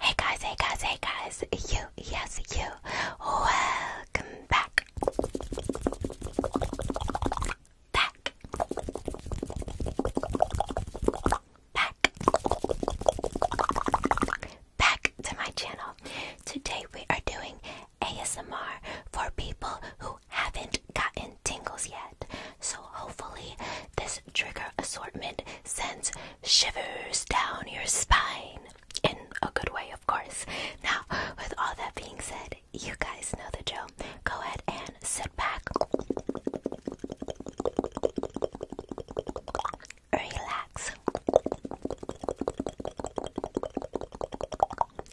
Hey guys, hey guys, hey guys, you, yes, you, welcome back. Back. Back. Back to my channel. Today we are doing ASMR for people who haven't gotten tingles yet. So hopefully, this trigger assortment sends shivers down your spine in a good way, of course. Now, with all that being said, you guys know the drill. Go ahead and sit back, relax,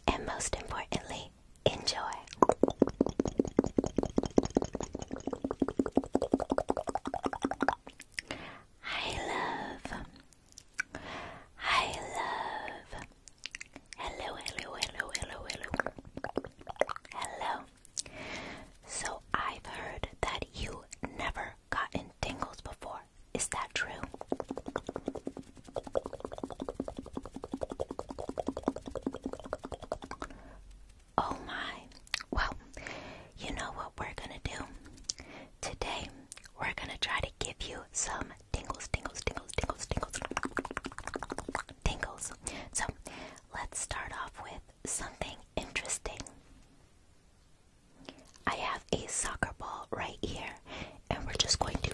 and most importantly, enjoy. I love. I love. Hello, hello, hello, hello, hello. Hello. So I've heard that you never gotten tingles before. Is that true? Oh my. Well, you know what we're gonna do? Today, we're gonna try to give you some tingles, tingles, tingles, tingles, tingles, tingles. So, let's start off with something interesting. I have a soccer ball right here, and we're just going to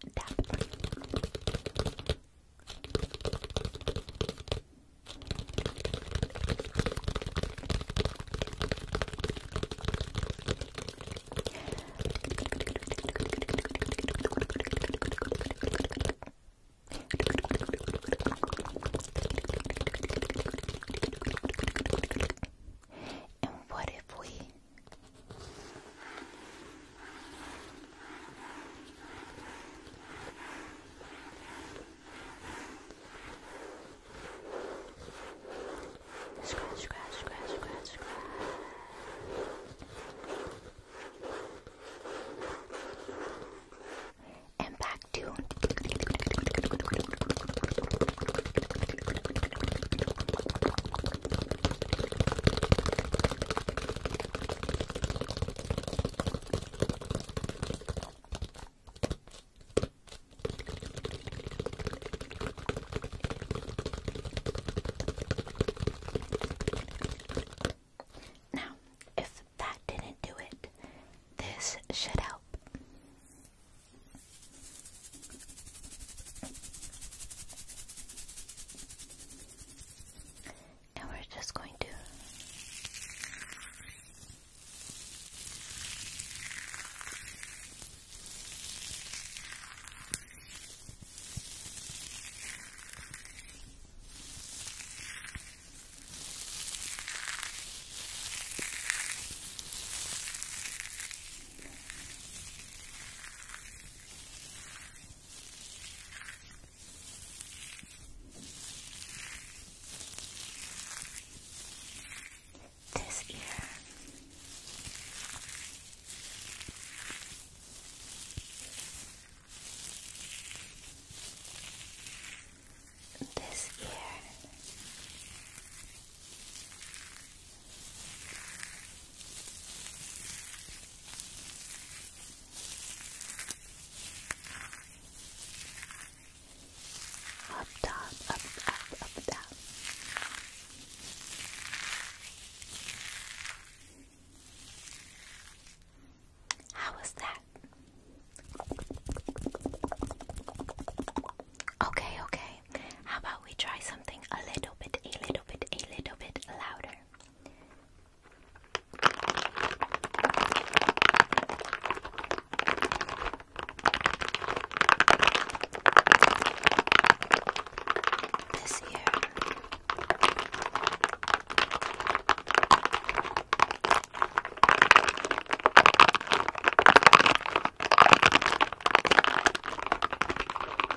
and what if we Scratch, scratch, scratch, scratch, scratch. And back to now, if that didn't do it, this should help. And we're just going to this ear. This ear. Up top, up, up, up top. How was that? Okay, okay how about we try something a little bit, a little bit, a little bit louder? This year.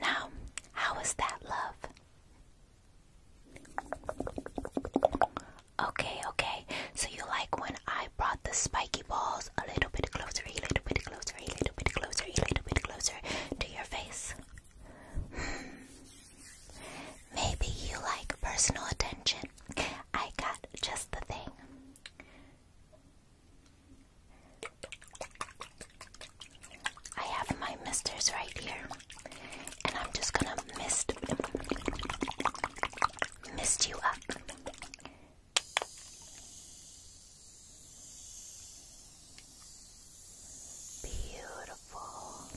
Now, how was that love? Okay, okay. So you like when I brought the spiky balls a little bit closer, a little bit closer, a little bit closer, a little bit closer to your face? Hmm. Maybe you like personal attention. I got just the thing. I have my misters right here, and I'm just gonna mist mist you up. Beautiful. Um,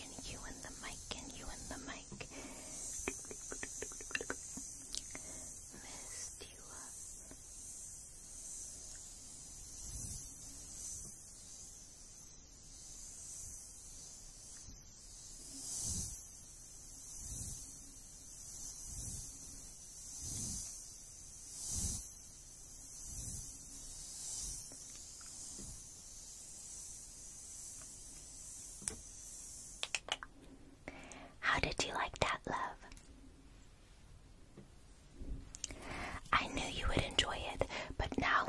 and you and the mic, and you and the mic, and you and the mic mic. Missed you up. Good. How did you like that, love? I knew you would enjoy it, but now,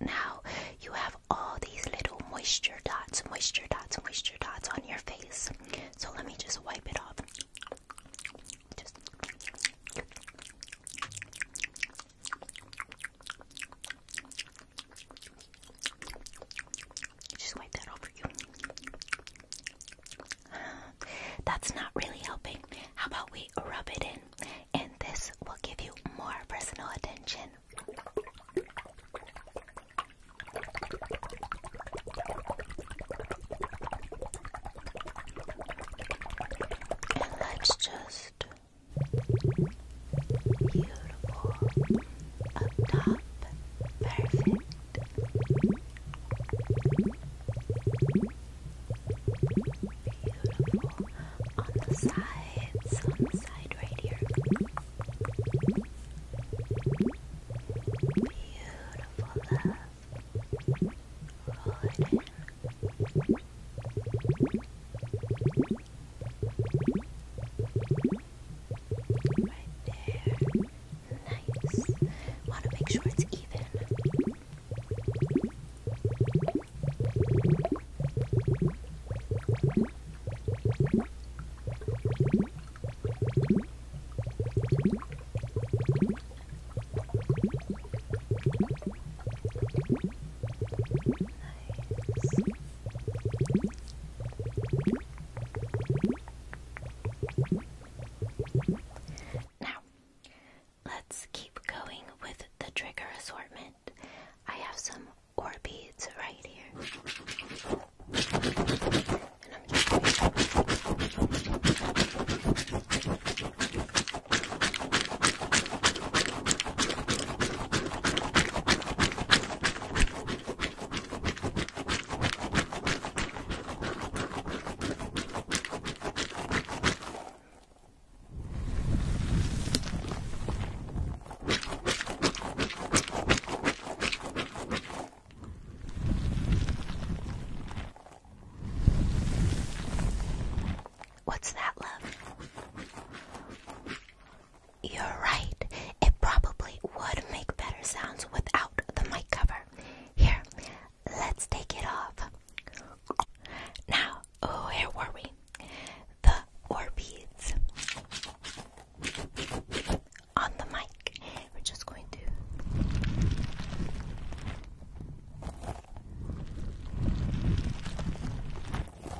now you have all these little moisture dots, moisture dots, moisture dots on your face. So let me just wipe it off. Just. Just wipe that over you. That's not really helping. How about we rub it in? And this will give you more personal attention. And let's just Beautiful. Up top. Perfect. Beautiful. On the sides. On the side right here. Beautiful love. Roll it in. Right there. Nice. Want to make sure it's even. Nice. Now, let's keep going with the trigger assortment. I have some or beads right here. And I'm just What's that, love? You're right. It probably would make better sounds without the mic cover. Here, let's take it off. Now, where were we? The Orbeez on the mic. We're just going to.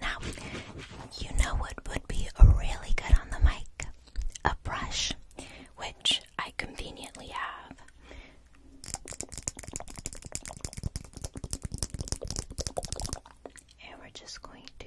Now, you know what would be really good on the mic? A brush, which I conveniently have. And we're just going to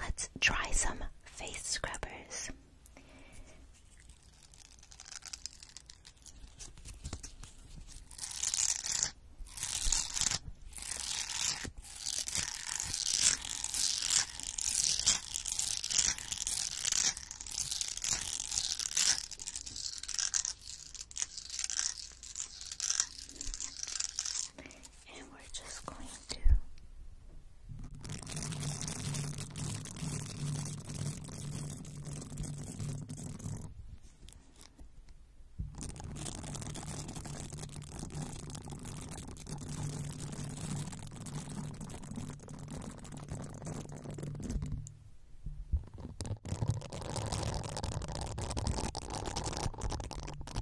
Let's try some face scrubbers and we're just going to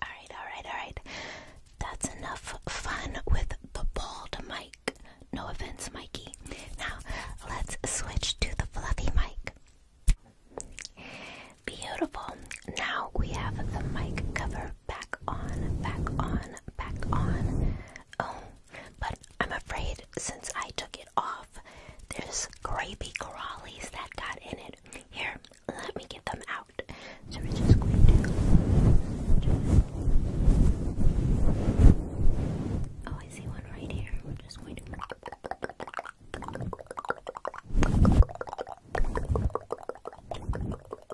Alright, alright, alright. That's enough fun with the bald mic. No offense, Mikey. Now, let's switch to the fluffy mic. Beautiful. Now we have the mic cover back on, back on, back on. Oh, but I'm afraid since I took it off, there's grapey crawlies that got in it. Here, let me get them out. So we're just going to. Oh, I see one right here. We're just going to.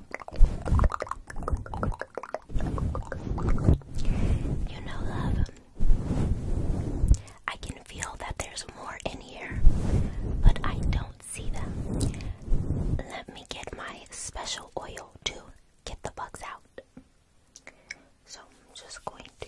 You know, love, I can feel that there's more in here, but I don't see them. Let me get my special oil to get the bugs out. So I'm just going to.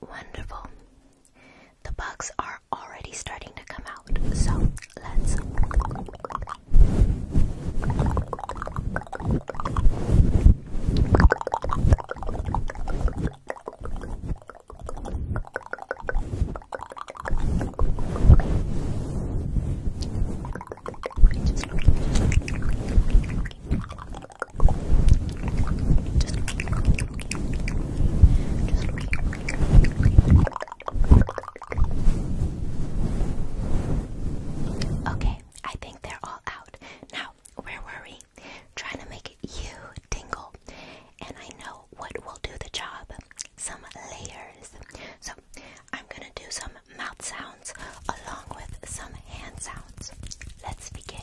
Wonderful. The bugs are already starting to come out, so let's. Okay, I think they're all out. Now, where were we? Trying to make you tingle. And I know what will do the job. Some layers. So, I'm gonna do some mouth sounds along with some hand sounds. Let's begin.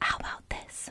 How about this?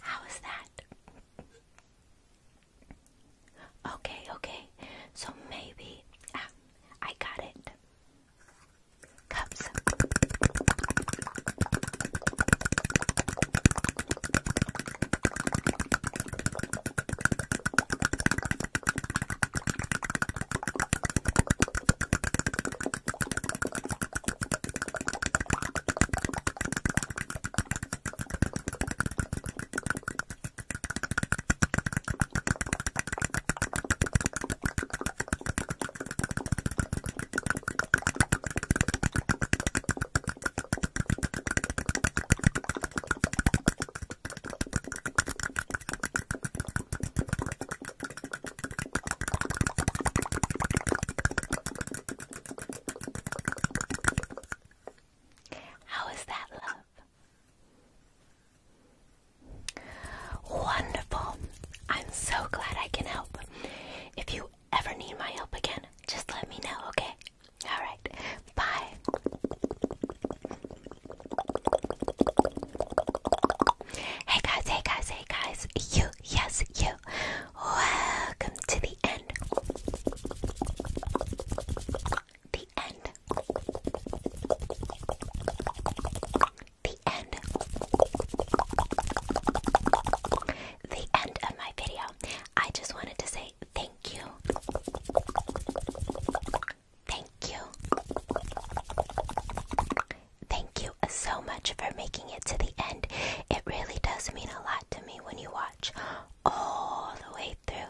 How is that? Okay, okay. So maybe at I got it. Cups. How is that love? Wonderful. I'm so glad I can help. If you ever need my help again, just let me know, okay? All right. Bye. Hey guys, hey guys, hey guys. You, yes, you. Welcome to the end. The end. The end. The end of my video. I just wanted to say thank you. Thank you. Thank you so much for making it to the end. It really does mean a lot to me when you watch all the way through.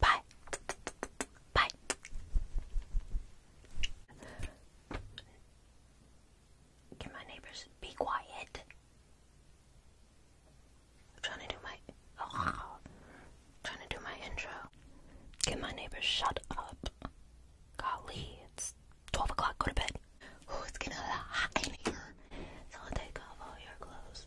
Bye. Bye. Can my neighbors be quiet? trying to do my oh, trying to do my intro. Can my neighbors shut up? Golly, it's 12 o'clock, go to bed. Oh, it's getting a lot hot in here. So take off all your clothes.